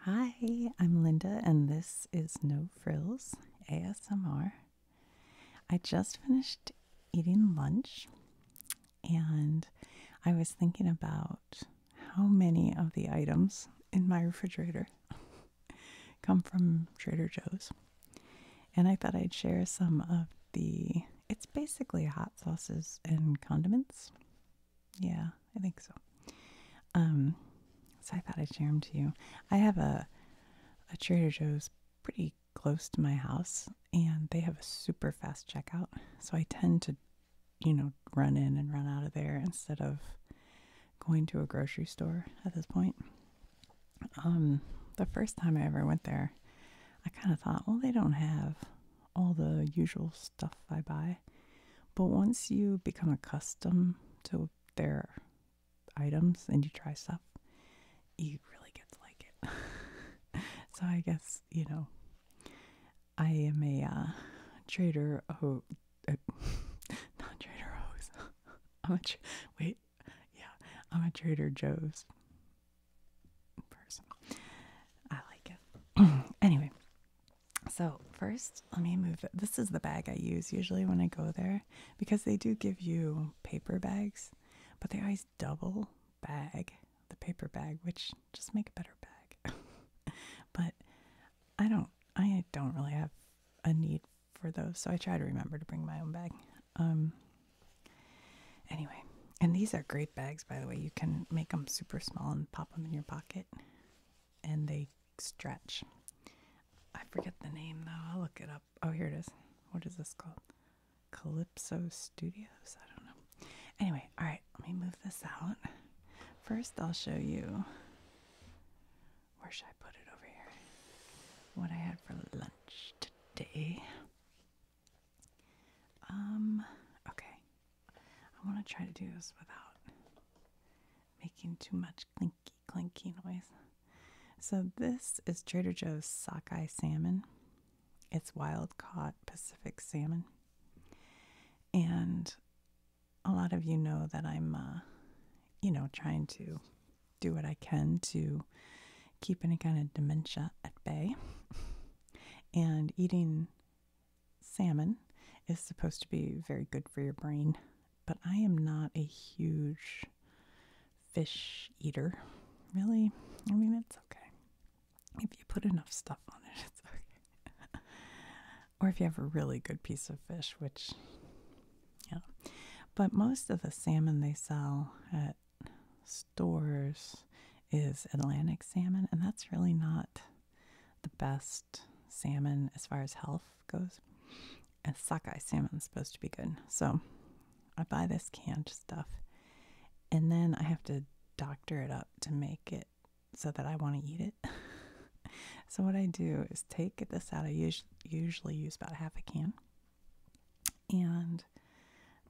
Hi, I'm Linda, and this is No Frills ASMR. I just finished eating lunch, and I was thinking about how many of the items in my refrigerator come from Trader Joe's. And I thought I'd share some of the, it's basically hot sauces and condiments yeah, I think so. Um, so I thought I'd share them to you. I have a a Trader Joe's pretty close to my house, and they have a super fast checkout. So I tend to, you know, run in and run out of there instead of going to a grocery store at this point. Um, the first time I ever went there, I kind of thought, well, they don't have all the usual stuff I buy. But once you become accustomed to their items and you try stuff, you really get to like it. so I guess, you know, I am a uh, trader who. Joe's. Uh, wait, yeah, I'm a Trader Joe's person. I like it. anyway, so, first, let me move. This is the bag I use usually when I go there because they do give you paper bags, but they always double bag the paper bag, which just make a better bag. but I don't I don't really have a need for those, so I try to remember to bring my own bag. Um anyway, and these are great bags by the way. You can make them super small and pop them in your pocket and they stretch. I forget the name though. I'll look it up. Oh, here it is. What is this called? Calypso Studios? I don't know. Anyway, all right, let me move this out. First, I'll show you where should I put it over here? What I had for lunch today. Um, okay. I want to try to do this without making too much clinky clinky noise. So this is Trader Joe's sockeye salmon. It's wild caught Pacific salmon. And a lot of you know that I'm uh, you know, trying to do what I can to keep any kind of dementia at bay. And eating salmon is supposed to be very good for your brain, but I am not a huge fish eater. Really? I mean, it's okay. If you put enough stuff on it, it's okay. or if you have a really good piece of fish, which, yeah. But most of the salmon they sell at stores is Atlantic salmon, and that's really not the best salmon as far as health goes. And sockeye salmon is supposed to be good. So I buy this canned stuff and then I have to doctor it up to make it so that I want to eat it. so what I do is take this out. I usually use about half a can. And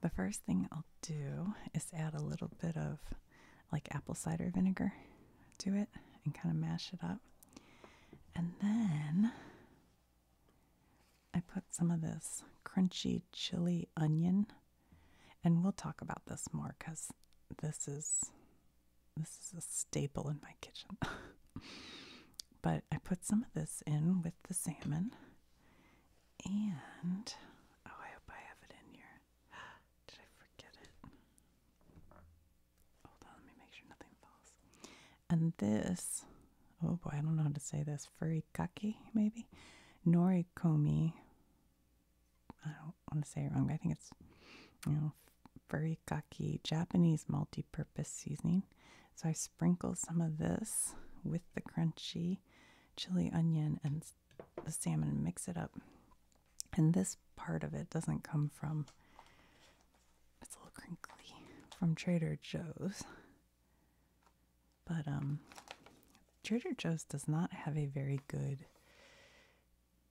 the first thing I'll do is add a little bit of like apple cider vinegar do it and kind of mash it up. And then I put some of this crunchy chili onion. And we'll talk about this more because this is this is a staple in my kitchen. but I put some of this in with the salmon. And oh, I hope I have it in here. Did I forget it? Hold on, let me make sure nothing falls. And this, oh boy, I don't know how to say this. Furikake, maybe? Norikomi. I don't want to say it wrong. I think it's, you know, furikake, Japanese multi-purpose seasoning. So I sprinkle some of this with the crunchy chili onion and the salmon and mix it up. And this part of it doesn't come from, it's a little crinkly, from Trader Joe's. But um, Trader Joe's does not have a very good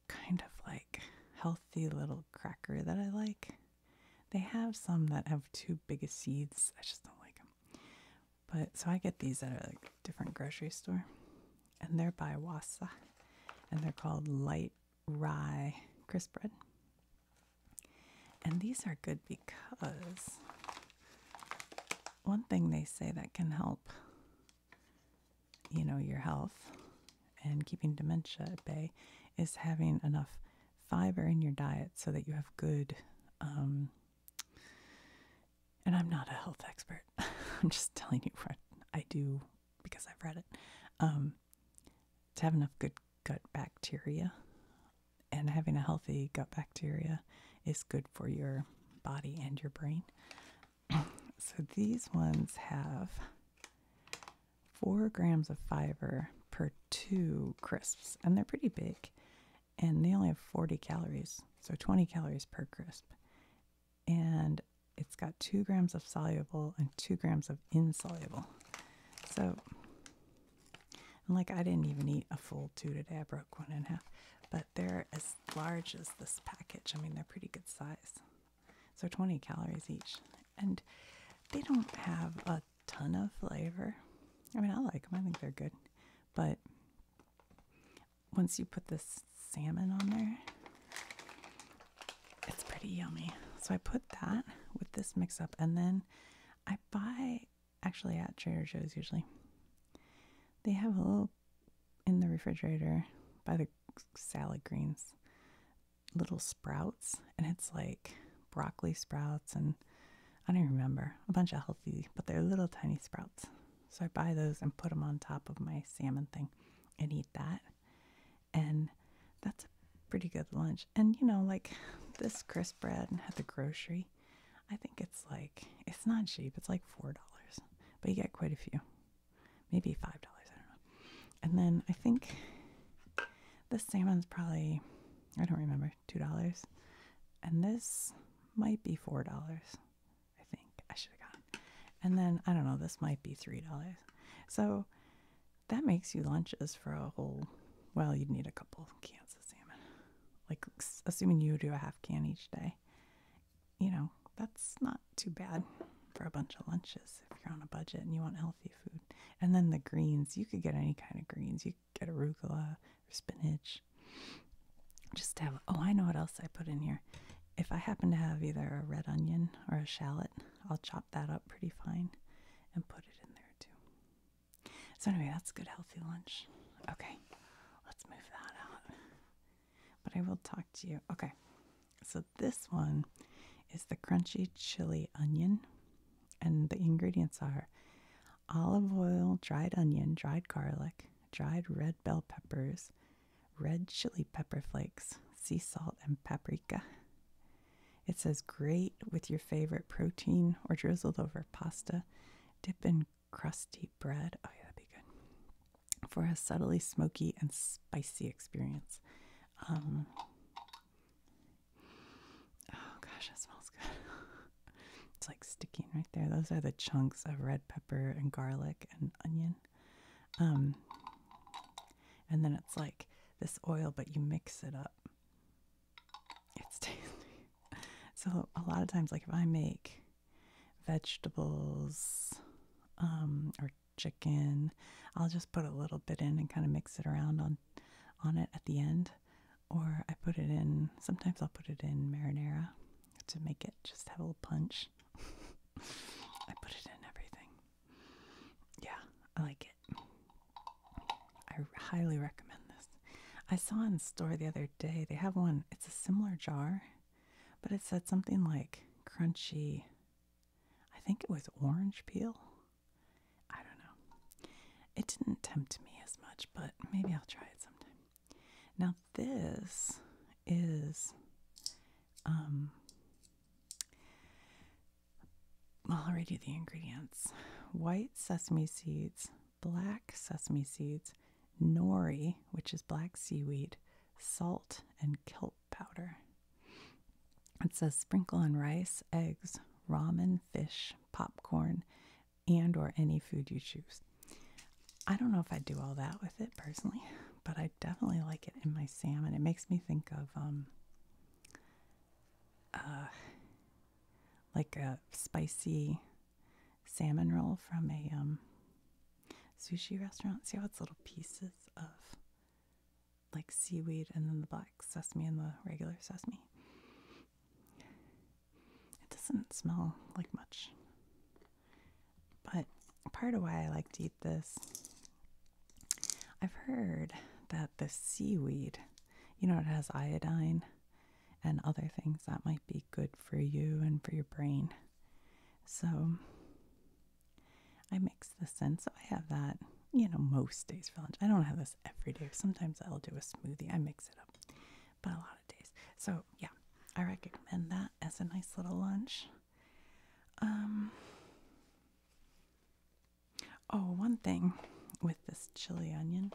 kind of like healthy little cracker that I like. They have some that have too big of seeds. I just don't like them. But so I get these at a different grocery store and they're by Wassa, and they're called light rye crisp bread. And these are good because one thing they say that can help, you know, your health and keeping dementia at bay is having enough fiber in your diet so that you have good. Um, and I'm not a health expert. I'm just telling you what I do because I've read it, um, to have enough good gut bacteria. And having a healthy gut bacteria is good for your body and your brain. so these ones have four grams of fiber per two crisps, and they're pretty big. And they only have 40 calories, so 20 calories per crisp and it's got two grams of soluble and two grams of insoluble. So, like I didn't even eat a full two today, I broke one and a half, but they're as large as this package. I mean, they're pretty good size. So, 20 calories each. And they don't have a ton of flavor. I mean, I like them, I think they're good, but once you put this salmon on there. It's pretty yummy. So I put that with this mix up, and then I buy actually at Trader Joe's usually. They have a little in the refrigerator by the salad greens little sprouts, and it's like broccoli sprouts and I don't remember a bunch of healthy, but they're little tiny sprouts. So I buy those and put them on top of my salmon thing and eat that. And that's a pretty good lunch. And you know, like this crisp bread at the grocery, I think it's like, it's not cheap, it's like $4, but you get quite a few, maybe $5, I don't know. And then I think the salmon's probably, I don't remember, $2. And this might be $4, I think. I should have gone. And then I don't know, this might be three dollars. So that makes you lunches for a whole well, you'd need a couple cans of salmon. Like assuming you do a half can each day. You know, that's not too bad for a bunch of lunches if you're on a budget and you want healthy food. And then the greens, you could get any kind of greens. You get arugula or spinach. Just have, oh, I know what else I put in here. If I happen to have either a red onion or a shallot, I'll chop that up pretty fine and put it in there too. So, anyway, that's a good healthy lunch. Okay, let's move that out. But I will talk to you. Okay, so this one is the crunchy chili onion, and the ingredients are olive oil, dried onion, dried garlic, dried red bell peppers, red chili pepper flakes, sea salt, and paprika. It says great with your favorite protein or drizzled over pasta. Dip in crusty bread. Oh, yeah, that'd be good. For a subtly smoky and spicy experience. Um, oh, gosh, that smells good. it's like sticking right there. Those are the chunks of red pepper and garlic and onion. Um, and then it's like this oil, but you mix it up. It's So a lot of times, like if I make vegetables um, or chicken, I'll just put a little bit in and kind of mix it around on on it at the end. Or I put it in. Sometimes I'll put it in marinara to make it just have a little punch. I put it in everything yeah, I like it. I highly recommend this. I saw in the store the other day, they have one, it's a similar jar, but it said something like crunchy, I think it was orange peel. I don't know. It didn't tempt me as much, but maybe I'll try it sometime. Now, this is um well, I'll read you the ingredients white sesame seeds, black sesame seeds, nori, which is black seaweed, salt, and kelp powder. It says sprinkle on rice, eggs, ramen, fish, popcorn, and or any food you choose. I don't know if I'd do all that with it personally, but I definitely like it in my salmon. It makes me think of um, uh, like a spicy salmon roll from a um, sushi restaurant. See how it's little pieces of like seaweed and then the black sesame and the regular sesame. It doesn't smell like much. But part of why I like to eat this, I've heard that the seaweed, you know, it has iodine and other things that might be good for you and for your brain. So I mix this in. So I have that, you know, most days for lunch. I don't have this every day. Sometimes I'll do a smoothie. I mix it up, but a lot of days. So yeah, I recommend that as a nice little lunch. Um, oh, one thing with this chili onion.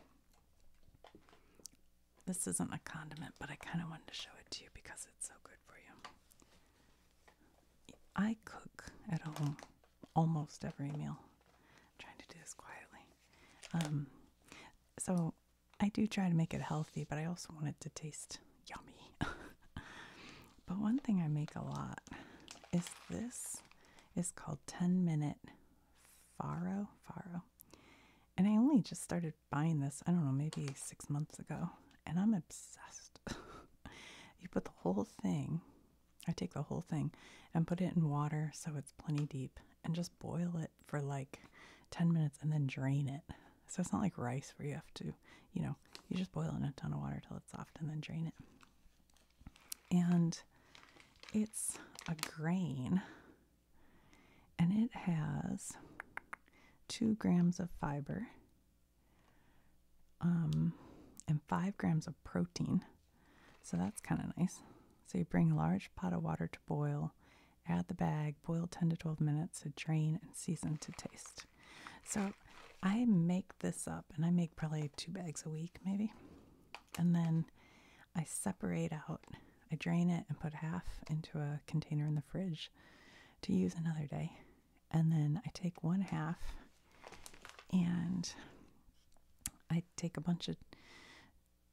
This isn't a condiment, but I kind of wanted to show it to you because it's so good for you. I cook at home almost every meal. trying to do this quietly. Um, so I do try to make it healthy, but I also want it to taste yummy. but one thing I make a lot is this is called 10 minute faro faro. And I only just started buying this, I don't know, maybe 6 months ago, and I'm obsessed. you put the whole thing, I take the whole thing and put it in water so it's plenty deep and just boil it for like 10 minutes and then drain it. So it's not like rice where you have to, you know, you just boil in a ton of water till it's soft and then drain it. And it's a grain and it has two grams of fiber um, and five grams of protein. So that's kind of nice. So you bring a large pot of water to boil, add the bag, boil 10 to 12 minutes to drain, and season to taste. So I make this up and I make probably two bags a week, maybe. And then I separate out, I drain it and put half into a container in the fridge to use another day. And then I take one half and I take a bunch of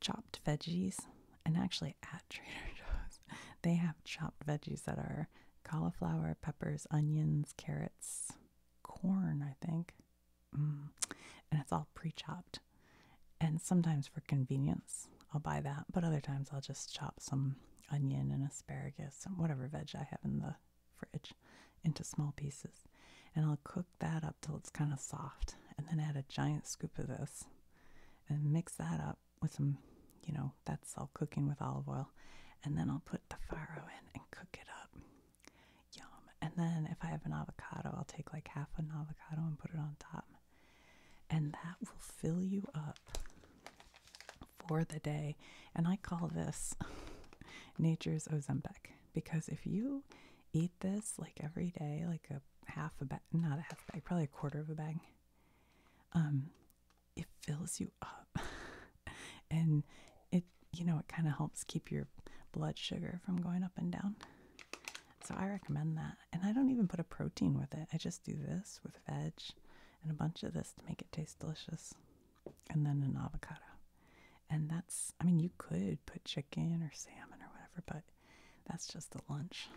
chopped veggies. And actually, at Trader Joe's, they have chopped veggies that are cauliflower, peppers, onions, carrots, corn, I think. Mm. And it's all pre chopped. And sometimes for convenience, I'll buy that, but other times I'll just chop some onion and asparagus and whatever veg I have in the fridge into small pieces. And I'll cook that up till it's kind of soft and then add a giant scoop of this and mix that up with some, you know, that's all cooking with olive oil. And then I'll put the farro in and cook it up. Yum. And then if I have an avocado, I'll take like half an avocado and put it on top. And that will fill you up for the day. And I call this nature's Ozempic because if you eat this like every day, like a half a bag, not a half bag, probably a quarter of a bag, um, it fills you up and it you know it kind of helps keep your blood sugar from going up and down so i recommend that and i don't even put a protein with it i just do this with veg and a bunch of this to make it taste delicious and then an avocado and that's i mean you could put chicken or salmon or whatever but that's just a lunch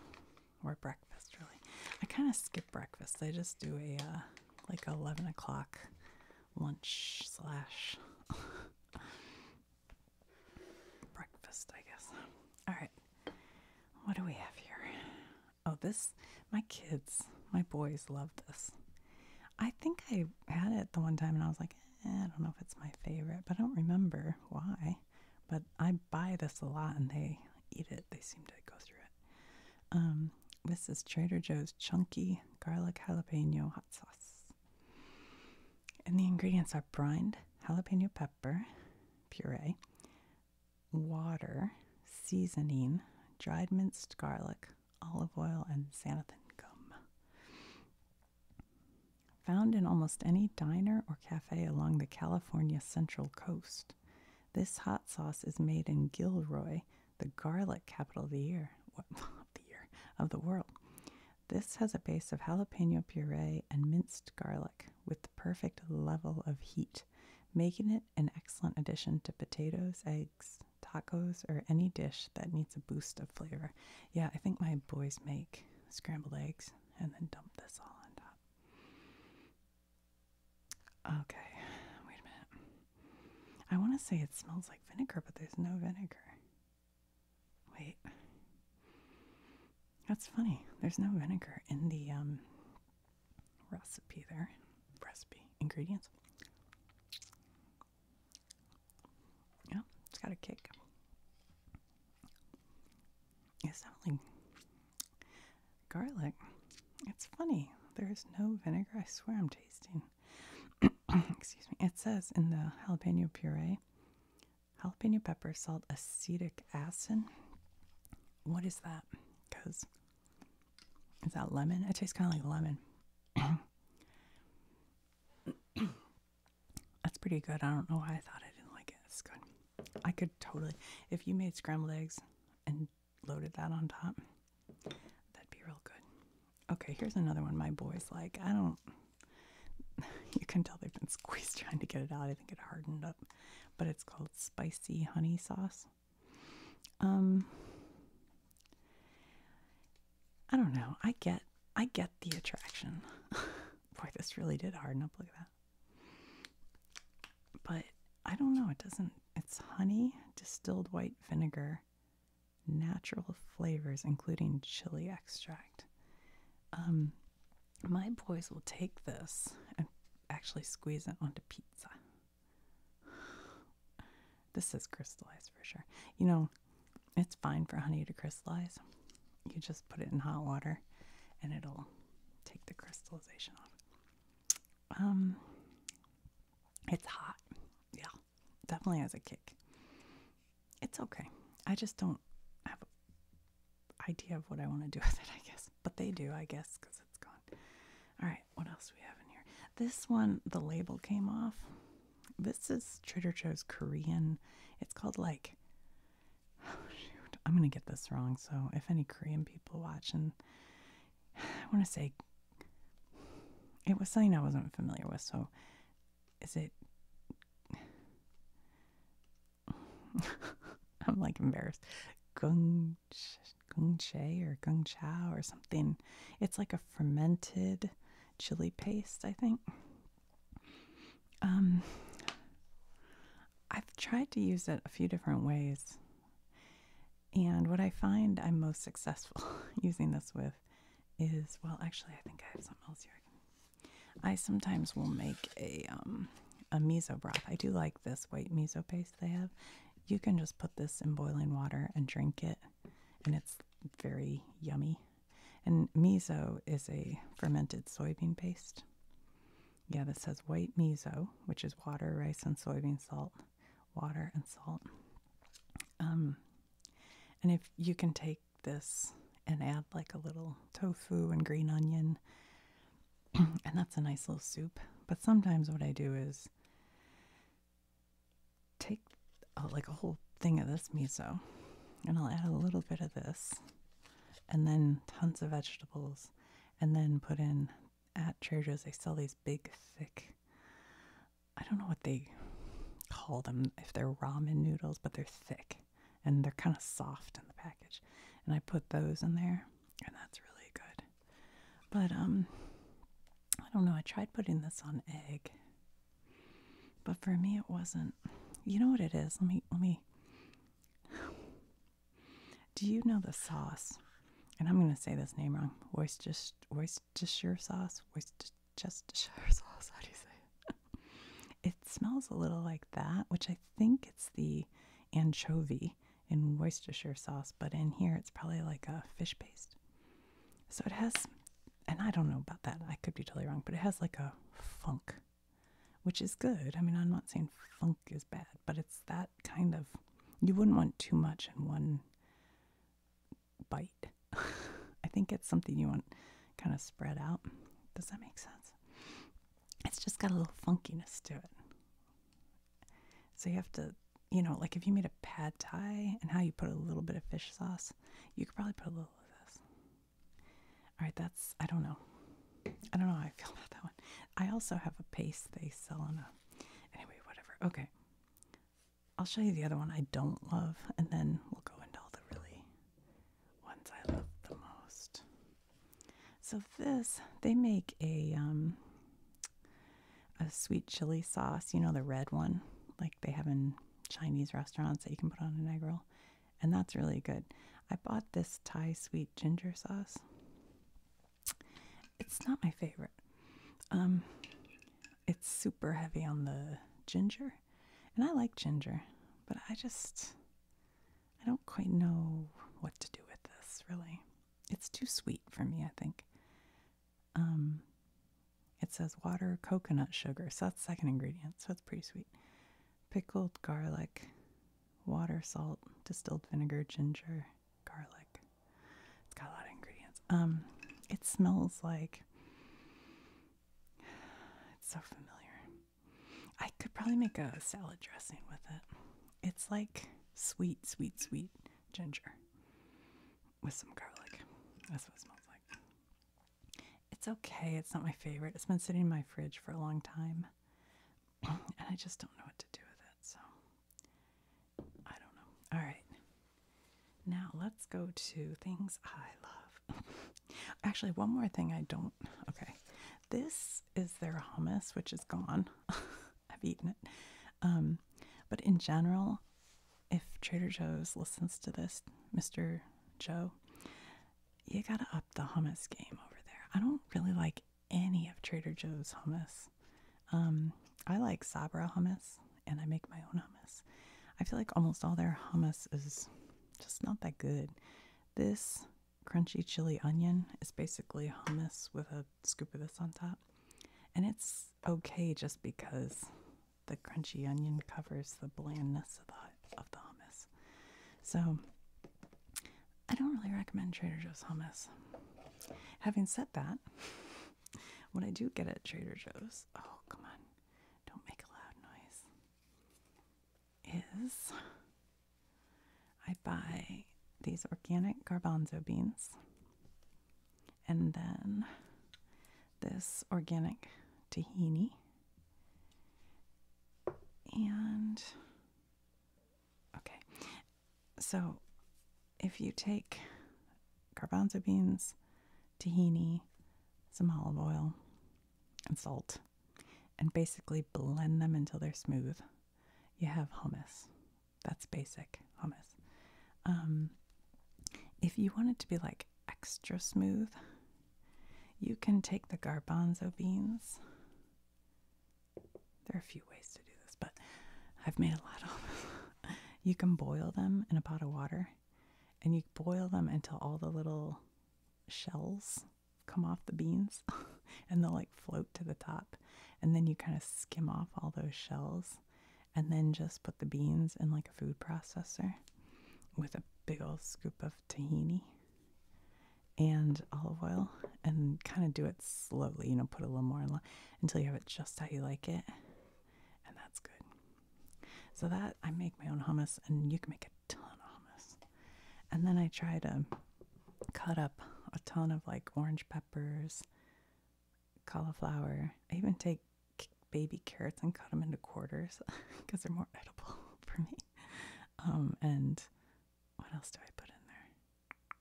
or breakfast really i kind of skip breakfast. I just do a uh, like eleven o'clock lunch slash breakfast, I guess. All right, what do we have here? Oh, this my kids, my boys love this. I think I had it the one time, and I was like, eh, I don't know if it's my favorite, but I don't remember why. But I buy this a lot, and they eat it. They seem to go through it. Um, this is Trader Joe's Chunky Garlic Jalapeno Hot Sauce. And the ingredients are brined jalapeno pepper puree, water, seasoning, dried minced garlic, olive oil, and xanthan gum. Found in almost any diner or cafe along the California Central Coast, this hot sauce is made in Gilroy, the garlic capital of the year, of the year, of the world. This has a base of jalapeno puree and minced garlic with the perfect level of heat, making it an excellent addition to potatoes, eggs, tacos, or any dish that needs a boost of flavor. Yeah, I think my boys make scrambled eggs and then dump this all on top. Okay, wait a minute. I want to say it smells like vinegar, but there's no vinegar. Wait. That's funny. There's no vinegar in the um, recipe there. Recipe. Ingredients. Yeah, it's got a kick. It's definitely garlic. It's funny. There is no vinegar. I swear I'm tasting. Excuse me. It says in the jalapeno puree, jalapeno pepper, salt, acetic acid. What is that? Because is that lemon? It tastes kind of like lemon. That's pretty good. I don't know why I thought I didn't like it. It's good. I could totally, if you made scrambled eggs and loaded that on top, that'd be real good. Okay, here's another one my boy's like. I don't, you can tell they've been squeezed trying to get it out. I think it hardened up, but it's called spicy honey sauce. Um, I don't know. I get, I get the attraction. Boy, this really did harden up. Look at that but I don't know, it doesn't, it's honey, distilled white vinegar, natural flavors, including chili extract. Um, my boys will take this and actually squeeze it onto pizza. This is crystallized for sure. You know, it's fine for honey to crystallize. You just put it in hot water and it'll take the crystallization off. Um, it's hot. Yeah, definitely has a kick. It's okay. I just don't have an idea of what I want to do with it, I guess. But they do, I guess, because it's gone. All right, what else do we have in here? This one, the label came off. This is Trader Joe's Korean. It's called like, I'm going to get this wrong. So if any Korean people watching, I want to say it was something I wasn't familiar with. So, is it? I'm like embarrassed. Gung Gung Che or Gung Chao or something. It's like a fermented chili paste, I think. Um, I've tried to use it a few different ways. And what I find I'm most successful using this with is well, actually, I think I have something else here. I sometimes will make a um, a miso broth. I do like this white miso paste they have. You can just put this in boiling water and drink it, and it's very yummy. And miso is a fermented soybean paste. Yeah, this says white miso, which is water, rice, and soybean salt, water, and salt. Um, and if you can take this and add like a little tofu and green onion, and that's a nice little soup. But sometimes what I do is take uh, like a whole thing of this miso, and I'll add a little bit of this, and then tons of vegetables, and then put in at Trader Joe's, they sell these big, thick, I don't know what they call them, if they're ramen noodles, but they're thick and they're kind of soft in the package. And I put those in there, and that's really good. But, um, I don't know, I tried putting this on egg, but for me, it wasn't. You know what it is? Let me, let me. Do you know the sauce? And I'm going to say this name wrong. Voice just. Worcestershire sauce. Worcestershire sauce, how do you say it? it smells a little like that, which I think it's the anchovy in Worcestershire sauce, but in here it's probably like a fish paste. So it has, and I don't know about that, I could be totally wrong, but it has like a funk, which is good. I mean, I'm not saying funk is bad, but it's that kind of, you wouldn't want too much in one bite. I think it's something you want kind of spread out. Does that make sense? It's just got a little funkiness to it. So you have to, you know, like if you made a pad thai and how you put a little bit of fish sauce, you could probably put a little of this. All right, that's, I don't know. I don't know I feel about that one. I also have a paste they sell on a, anyway, whatever. Okay. I'll show you the other one I don't love, and then we'll go into all the really ones I love the most. So this, they make a um, a sweet chili sauce. You know the red one, like they have in Chinese restaurants that you can put on an egg roll, and that's really good. I bought this Thai sweet ginger sauce. It's not my favorite. Um, it's super heavy on the ginger, and I like ginger, but I just I don't quite know what to do with this. Really, it's too sweet for me. I think. Um, it says water, coconut sugar, so that's second ingredient, so it's pretty sweet. Pickled garlic, water, salt, distilled vinegar, ginger, garlic. It's got a lot of ingredients. Um, it smells like it's so familiar. I could probably make a salad dressing with it. It's like sweet, sweet, sweet ginger with some garlic. That's what it smells like. It's okay. It's not my favorite. It's been sitting in my fridge for a long time, and I just don't know what to do with it. So I don't know. All right. Now let's go to things I love. Actually, one more thing I don't. Okay. This is their hummus, which is gone. I've eaten it. Um, but in general, if Trader Joe's listens to this, Mr. Joe, you gotta up the hummus game over there. I don't really like any of Trader Joe's hummus. Um, I like Sabra hummus and I make my own hummus. I feel like almost all their hummus is just not that good. This crunchy chili onion is basically hummus with a scoop of this on top. And it's okay just because the crunchy onion covers the blandness of the, of the hummus. So I don't really recommend Trader Joe's hummus. Having said that, what I do get at Trader Joe's, oh come on, don't make a loud noise, is I buy these organic garbanzo beans and then this organic tahini and okay so if you take garbanzo beans, tahini, some olive oil, and salt, and basically blend them until they're smooth, you have hummus. That's basic hummus. Um, if you want it to be like extra smooth, you can take the garbanzo beans. There are a few ways but I've made a lot of them. you can boil them in a pot of water and you boil them until all the little shells come off the beans and they'll like float to the top. And then you kind of skim off all those shells and then just put the beans in like a food processor with a big old scoop of tahini and olive oil and kind of do it slowly, you know, put a little more in, until you have it just how you like it and that's good. So that I make my own hummus, and you can make a ton of hummus. And then I try to cut up a ton of like orange peppers, cauliflower. I even take baby carrots and cut them into quarters because they're more edible for me. Um, and what else do I put in there?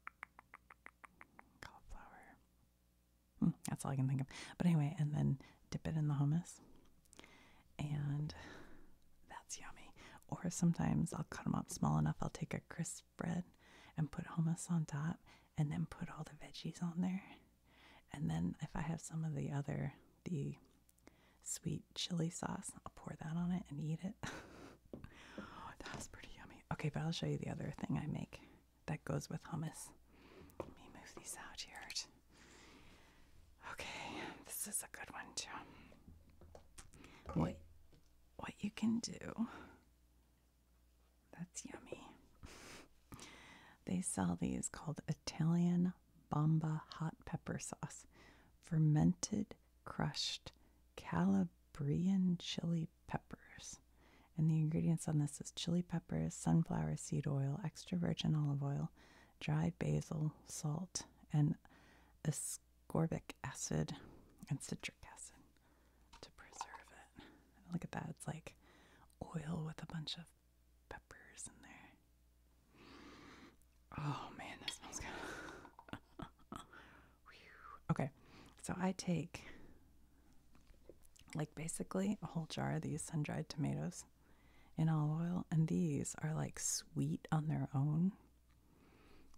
Cauliflower, Hmm, that's all I can think of. But anyway, and then dip it in the hummus. And that's yummy. Or sometimes I'll cut them up small enough. I'll take a crisp bread and put hummus on top and then put all the veggies on there. And then if I have some of the other, the sweet chili sauce, I'll pour that on it and eat it. that was pretty yummy. Okay, but I'll show you the other thing I make that goes with hummus. Let me move these out here. Okay, this is a good one too. What what you can do. That's yummy. They sell these called Italian bomba hot pepper sauce, fermented crushed Calabrian chili peppers. And the ingredients on this is chili peppers, sunflower seed oil, extra virgin olive oil, dried basil, salt, and ascorbic acid and citric acid to preserve it. look at that, it's like oil with a bunch of peppers in there. Oh man, that smells good. okay, so I take like basically a whole jar of these sun dried tomatoes in olive oil, and these are like sweet on their own.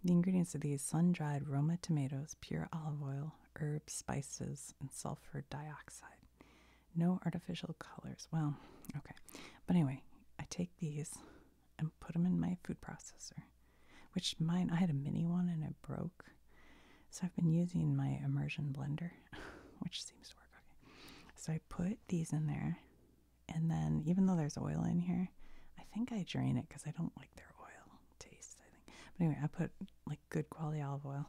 The ingredients of these sun dried Roma tomatoes, pure olive oil, herbs, spices, and sulfur dioxide. No artificial colors. Well, okay. But anyway, I take these and put them in my food processor, which mine, I had a mini one and it broke. So I've been using my immersion blender, which seems to work okay. So I put these in there, and then even though there's oil in here, I think I drain it because I don't like their oil taste, I think. But anyway, I put like good quality olive oil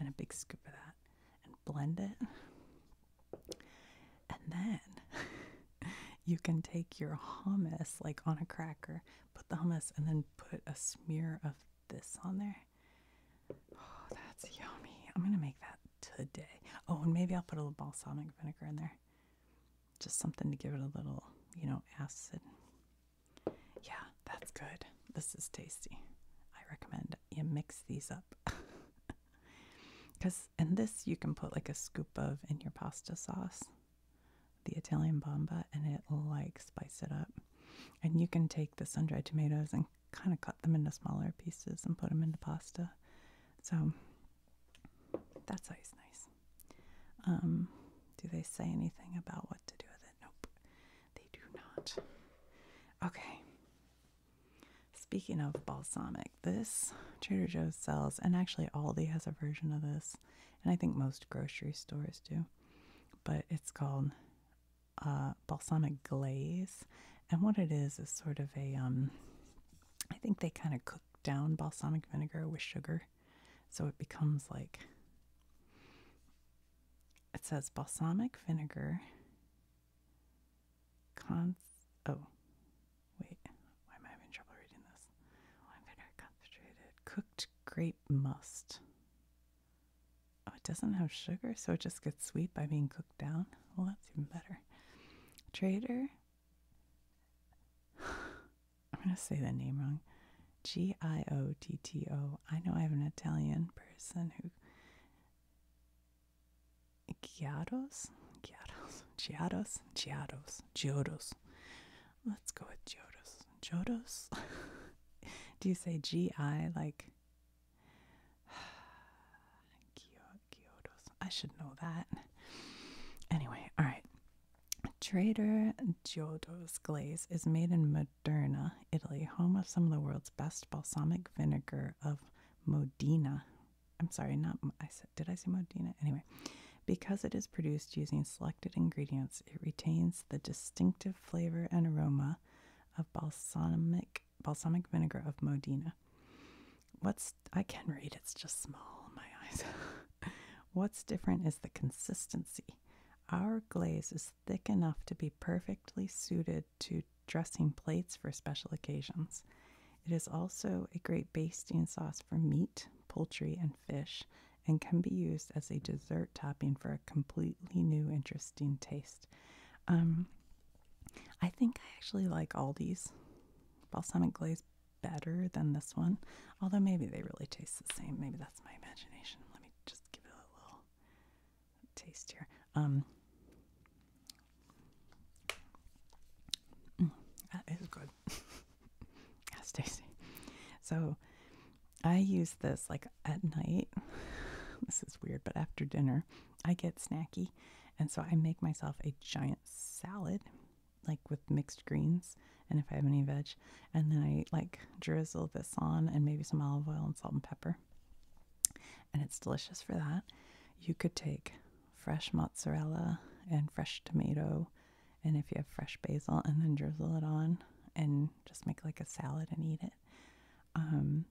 and a big scoop of that and blend it. And then you can take your hummus like on a cracker, put the hummus and then put a smear of this on there. Oh, that's yummy. I'm going to make that today. Oh, and maybe I'll put a little balsamic vinegar in there. Just something to give it a little, you know, acid. Yeah, that's good. This is tasty. I recommend you mix these up. Because in this, you can put like a scoop of in your pasta sauce the Italian Bamba, and it like spice it up. And you can take the sun dried tomatoes and kind of cut them into smaller pieces and put them into pasta. So that's always nice. Um, do they say anything about what to do with it? Nope, they do not. Okay. Speaking of balsamic, this Trader Joe's sells, and actually Aldi has a version of this, and I think most grocery stores do but it's called uh, balsamic glaze. And what it is is sort of a, um, I think they kind of cook down balsamic vinegar with sugar. So it becomes like, it says balsamic vinegar. Cons, oh, wait, why am I having trouble reading this? vinegar concentrated, cooked grape must. Oh, it doesn't have sugar, so it just gets sweet by being cooked down. Well, that's even better. Trader. I'm going to say the name wrong. G I O T T O. I know I have an Italian person who. Giados? Giados. Giados? Giados. Giados. Let's go with Jodos. Jodos? Do you say G-I like... Kyotos. I should know that. Anyway, alright. Trader Giotto's glaze is made in Modena, Italy, home of some of the world's best balsamic vinegar of Modena. I'm sorry, not I said. Did I say Modena? Anyway, because it is produced using select ingredients, it retains the distinctive flavor and aroma of balsamic balsamic vinegar of Modena. What's I can read, it's just small in my eyes. What's different is the consistency. Our glaze is thick enough to be perfectly suited to dressing plates for special occasions. It is also a great basting sauce for meat, poultry, and fish, and can be used as a dessert topping for a completely new, interesting taste. Um, I think I actually like Aldi's balsamic glaze better than this one, although maybe they really taste the same. Maybe that's my imagination. Let me just give it a little taste here. Um, mm, that is good. That's tasty. So, I use this like at night. This is weird, but after dinner, I get snacky. And so I make myself a giant salad, like with mixed greens. And if I have any veg, and then I like drizzle this on and maybe some olive oil and salt and pepper. And it's delicious for that. You could take fresh mozzarella and fresh tomato, and if you have fresh basil, and then drizzle it on and just make like a salad and eat it. Um,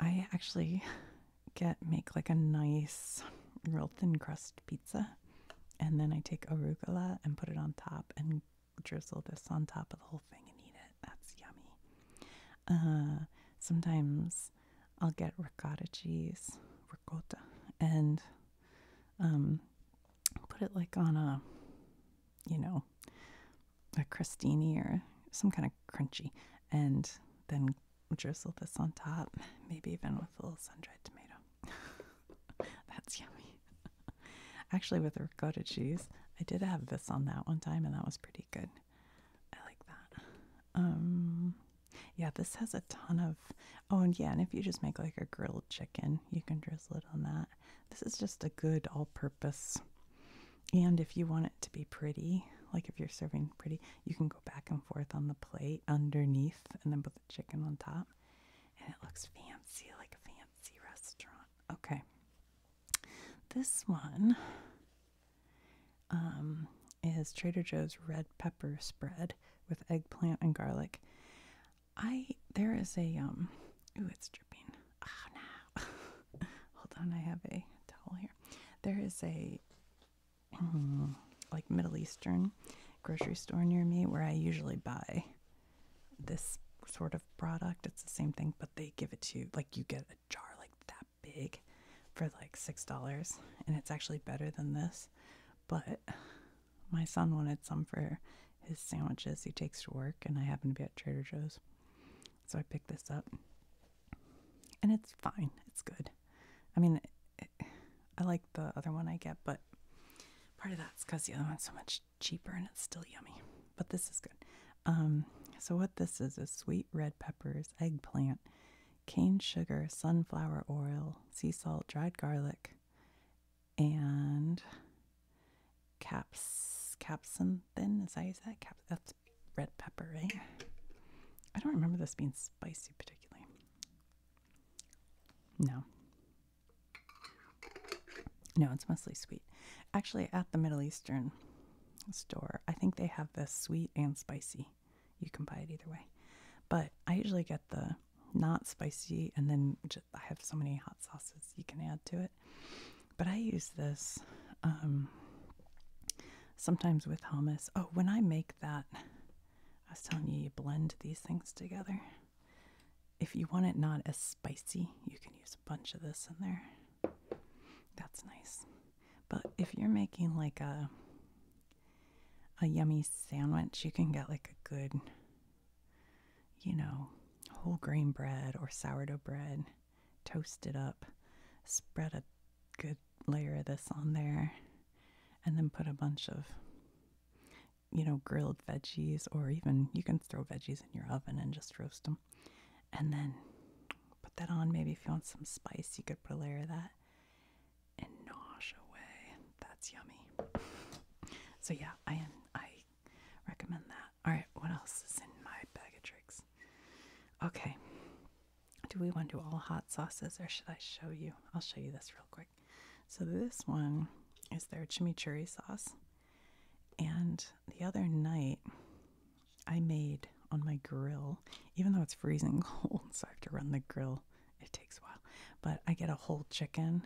I actually get make like a nice real thin crust pizza and then I take arugula and put it on top and drizzle this on top of the whole thing and eat it. That's yummy. Uh, sometimes I'll get ricotta cheese, ricotta, and um, put it like on a you know, a crostini or some kind of crunchy, and then drizzle this on top, maybe even with a little sun-dried tomato. That's yummy. Actually, with ricotta cheese, I did have this on that one time, and that was pretty good. I like that. Um, yeah, this has a ton of. Oh, and yeah, and if you just make like a grilled chicken, you can drizzle it on that this is just a good all purpose. And if you want it to be pretty, like if you're serving pretty, you can go back and forth on the plate underneath and then put the chicken on top. And it looks fancy, like a fancy restaurant. Okay. This one um, is Trader Joe's red pepper spread with eggplant and garlic. I there is a um ooh it's dripping. Oh no. Hold on, I have a towel here. There is a mm, like Middle Eastern grocery store near me where I usually buy this sort of product. It's the same thing, but they give it to you like you get a jar like that big for like six dollars and it's actually better than this. But my son wanted some for his sandwiches he takes to work, and I happen to be at Trader Joe's. So I picked this up. And it's fine. It's good. I mean, I like the other one I get, but part of that's because the other one's so much cheaper and it's still yummy. But this is good. Um, so, what this is is sweet red peppers, eggplant, cane sugar, sunflower oil, sea salt, dried garlic, and caps caps, and as I that is that caps That's red pepper, right? I don't remember this being spicy particularly. No. No, it's mostly sweet. Actually, at the Middle Eastern store, I think they have this sweet and spicy. You can buy it either way. But I usually get the not spicy and then I have so many hot sauces you can add to it. But I use this um, sometimes with hummus. Oh, when I make that, I was telling you, you blend these things together. If you want it not as spicy, you can use a bunch of this in there. That's nice. But if you're making like a a yummy sandwich, you can get like a good you know, whole grain bread or sourdough bread, toast it up, spread a good layer of this on there, and then put a bunch of, you know, grilled veggies, or even you can throw veggies in your oven and just roast them. And then put that on. Maybe if you want some spice, you could put a layer of that and nosh away. That's yummy. So yeah, I I recommend that. All right, what else is in my bag of tricks? Okay. Do we want to do all hot sauces or should I show you? I'll show you this real quick. So this one is their chimichurri sauce. And the other night I made on my grill, even though it's freezing cold, so I have to run the grill. It takes a while. But I get a whole chicken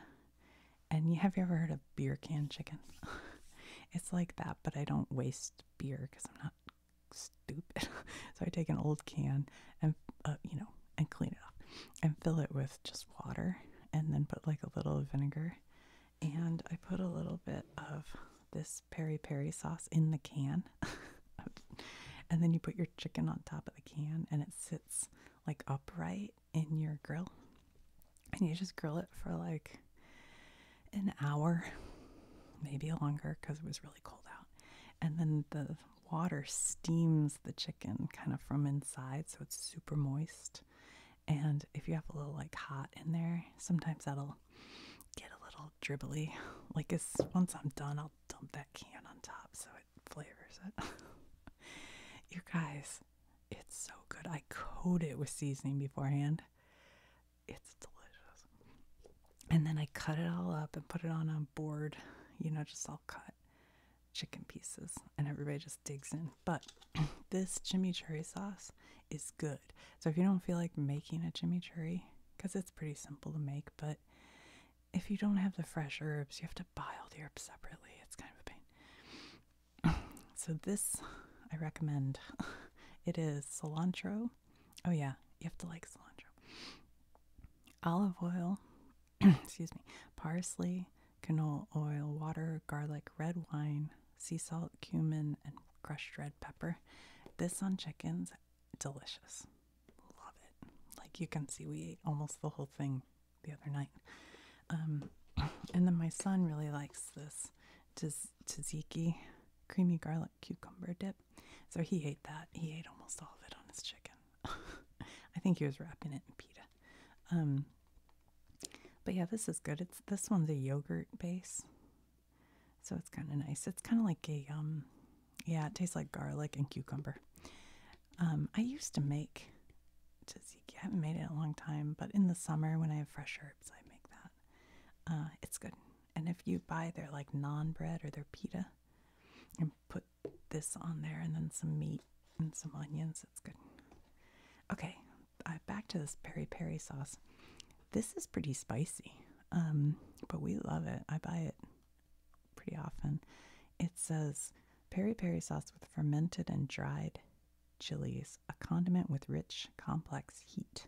and have you ever heard of beer can chicken? it's like that, but I don't waste beer because I'm not stupid. so I take an old can and uh, you know and clean it up and fill it with just water and then put like a little vinegar and I put a little bit of this peri peri sauce in the can. and then you put your chicken on top of the can and it sits like upright in your grill and you just grill it for like an hour, maybe longer because it was really cold out. And then the water steams the chicken kind of from inside, so it's super moist. And if you have a little like hot in there, sometimes that'll get a little dribbly. Like as once I'm done, I'll dump that can on top so it flavors it. you guys, it's so good. I coat it with seasoning beforehand. It's delicious. And then I cut it all up and put it on a board, you know, just all cut chicken pieces, and everybody just digs in. But this chimichurri sauce is good. So if you don't feel like making a chimichurri, because it's pretty simple to make, but if you don't have the fresh herbs, you have to buy all the herbs separately. It's kind of a pain. so this I recommend. it is cilantro. Oh yeah, you have to like cilantro. Olive oil, excuse me, parsley, canola oil, water, garlic, red wine, sea salt, cumin, and crushed red pepper. This on chickens, delicious. Love it. Like you can see, we ate almost the whole thing the other night. Um, and then my son really likes this tz- tzatziki creamy garlic cucumber dip. So he ate that. He ate almost all of it on his chicken. I think he was wrapping it in pita. Um, but yeah, this is good. It's this one's a yogurt base, so it's kind of nice. It's kind of like a um, yeah, it tastes like garlic and cucumber. Um, I used to make because I haven't made it in a long time. But in the summer, when I have fresh herbs, I make that. Uh, it's good. And if you buy their like non bread or their pita, and put this on there, and then some meat and some onions, it's good. Okay, uh, back to this peri peri sauce. This is pretty spicy, um, but we love it. I buy it pretty often. It says peri peri sauce with fermented and dried chilies, a condiment with rich, complex heat.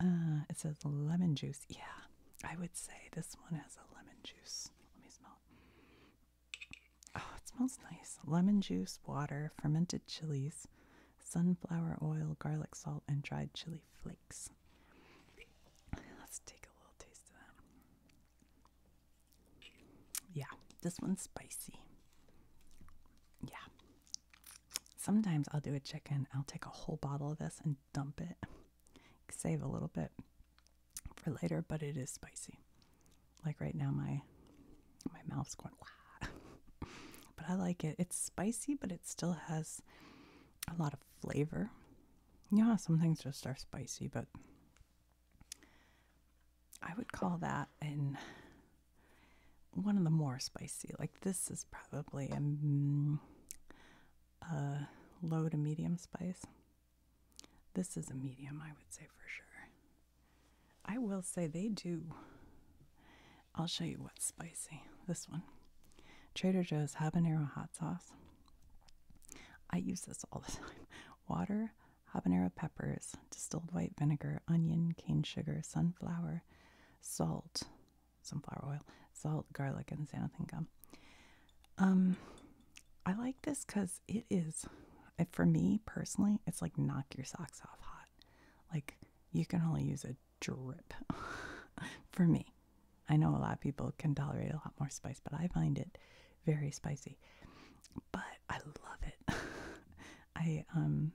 Uh, it says lemon juice. Yeah, I would say this one has a lemon juice. Let me smell it. Oh, it smells nice. Lemon juice, water, fermented chilies, sunflower oil, garlic salt, and dried chili flakes. Let's take a little taste of that. Yeah, this one's spicy. Yeah. Sometimes I'll do a chicken. I'll take a whole bottle of this and dump it. Save a little bit for later, but it is spicy. Like right now, my my mouth's going but I like it. It's spicy, but it still has a lot of flavor. Yeah, some things just are spicy, but I would call that in one of the more spicy. Like this is probably mm, a, low to medium spice. This is a medium, I would say for sure. I will say they do. I'll show you what's spicy. This one Trader Joe's habanero hot sauce. I use this all the time. Water, habanero peppers, distilled white vinegar, onion, cane sugar, sunflower, salt, sunflower oil, salt, garlic, and xanthan gum. Um, I like this because it is, for me personally, it's like knock your socks off hot. Like you can only use a drip for me. I know a lot of people can tolerate a lot more spice, but I find it very spicy. But I love it. I um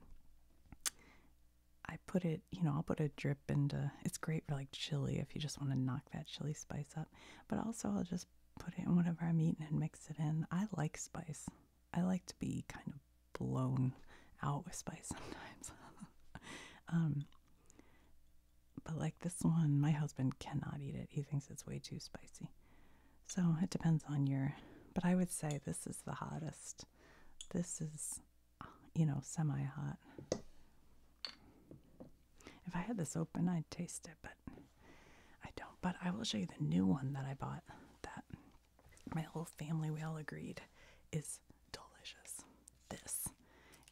I put it, you know, I'll put a drip into it's great for like chili if you just want to knock that chili spice up. But also I'll just put it in whatever I'm eating and mix it in. I like spice. I like to be kind of blown out with spice sometimes. um but like this one, my husband cannot eat it. He thinks it's way too spicy. So it depends on your, but I would say this is the hottest. This is, you know, semi hot. If I had this open, I'd taste it, but I don't. But I will show you the new one that I bought that my whole family, we all agreed, is delicious. This.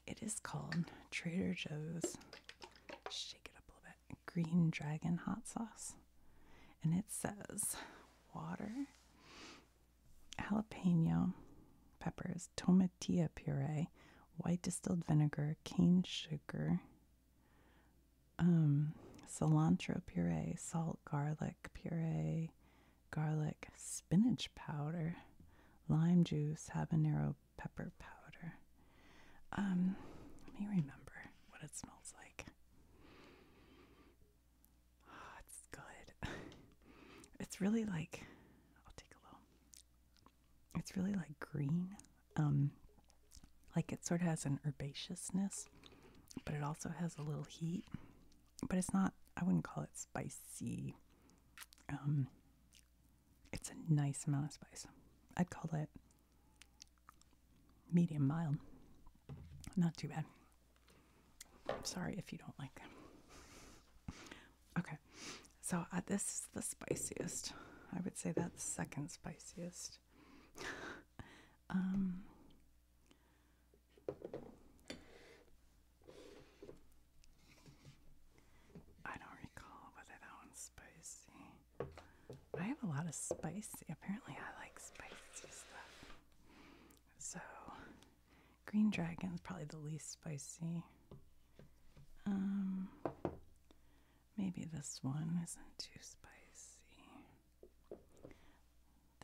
It is called Trader Joe's. Shake it up a little bit green dragon hot sauce. And it says water, jalapeno peppers, tomatilla puree, white distilled vinegar, cane sugar, um, cilantro puree, salt, garlic puree, garlic, spinach powder, lime juice, habanero pepper powder. Um, let me remember what it smells like. Oh, it's good. it's really like I'll take a little. It's really like green. Um like it sort of has an herbaceousness, but it also has a little heat. But it's not I wouldn't call it spicy. Um it's a nice amount of spice. I'd call it medium mild. Not too bad. Sorry if you don't like them. Okay, so uh, this is the spiciest. I would say that's second spiciest. um, I don't recall whether that one's spicy. I have a lot of spice. Apparently, I like spicy stuff. So, green dragon is probably the least spicy. Um, maybe this one isn't too spicy.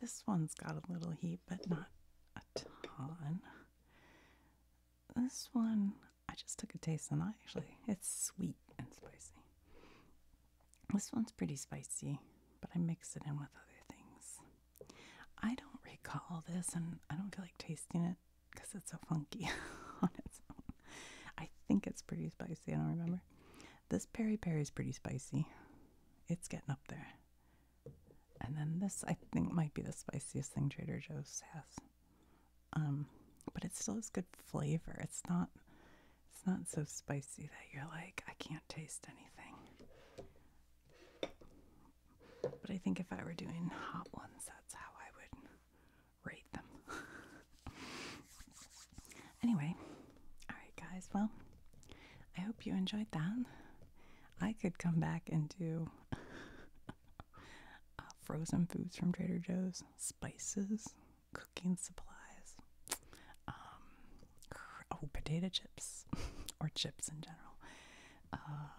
This one's got a little heat, but not a ton. This one, I just took a taste and I actually, it's sweet and spicy. This one's pretty spicy, but I mix it in with other things. I don't recall this, and I don't feel like tasting it because it's so funky on its own. I think it's pretty spicy. I don't remember. This peri peri is pretty spicy. It's getting up there. And then this, I think, might be the spiciest thing Trader Joe's has. Um, but it still has good flavor. It's not it's not so spicy that you're like, I can't taste anything. But I think if I were doing hot ones, that's how I would rate them. anyway, alright, guys, well, I hope you enjoyed that. I could come back and do uh, frozen foods from Trader Joe's, spices, cooking supplies, um, oh, potato chips or chips in general. Uh,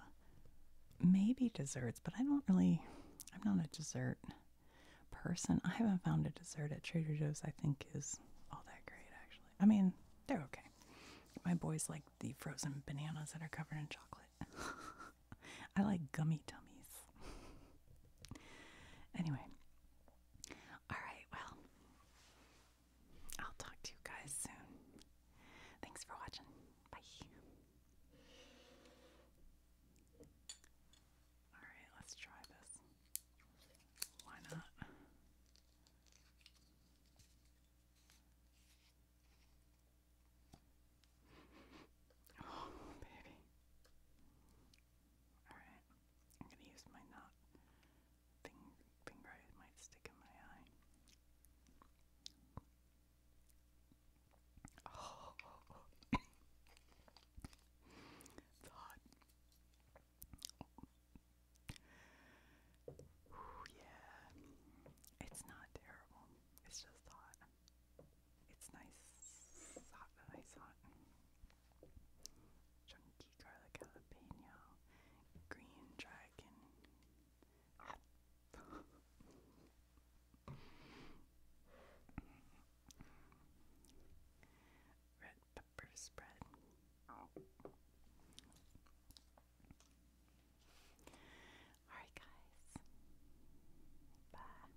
maybe desserts, but I don't really, I'm not a dessert person. I haven't found a dessert at Trader Joe's I think is all that great, actually. I mean, they're okay. My boys like the frozen bananas that are covered in chocolate. I like gummy tummies. Anyway, Alright, well, I'll talk to you guys soon. Thanks for watching. Bye. Alright, let's try this. Why not? Oh, baby. All right. I'm going to use my knot. Finger, it might stick in my eye. Oh, it's hot. Ooh, yeah, it's not terrible. It's just hot. It's nice, hot, nice, hot chunky garlic jalapeno, green dragon. Red pepper spread. Alright, guys. Bye.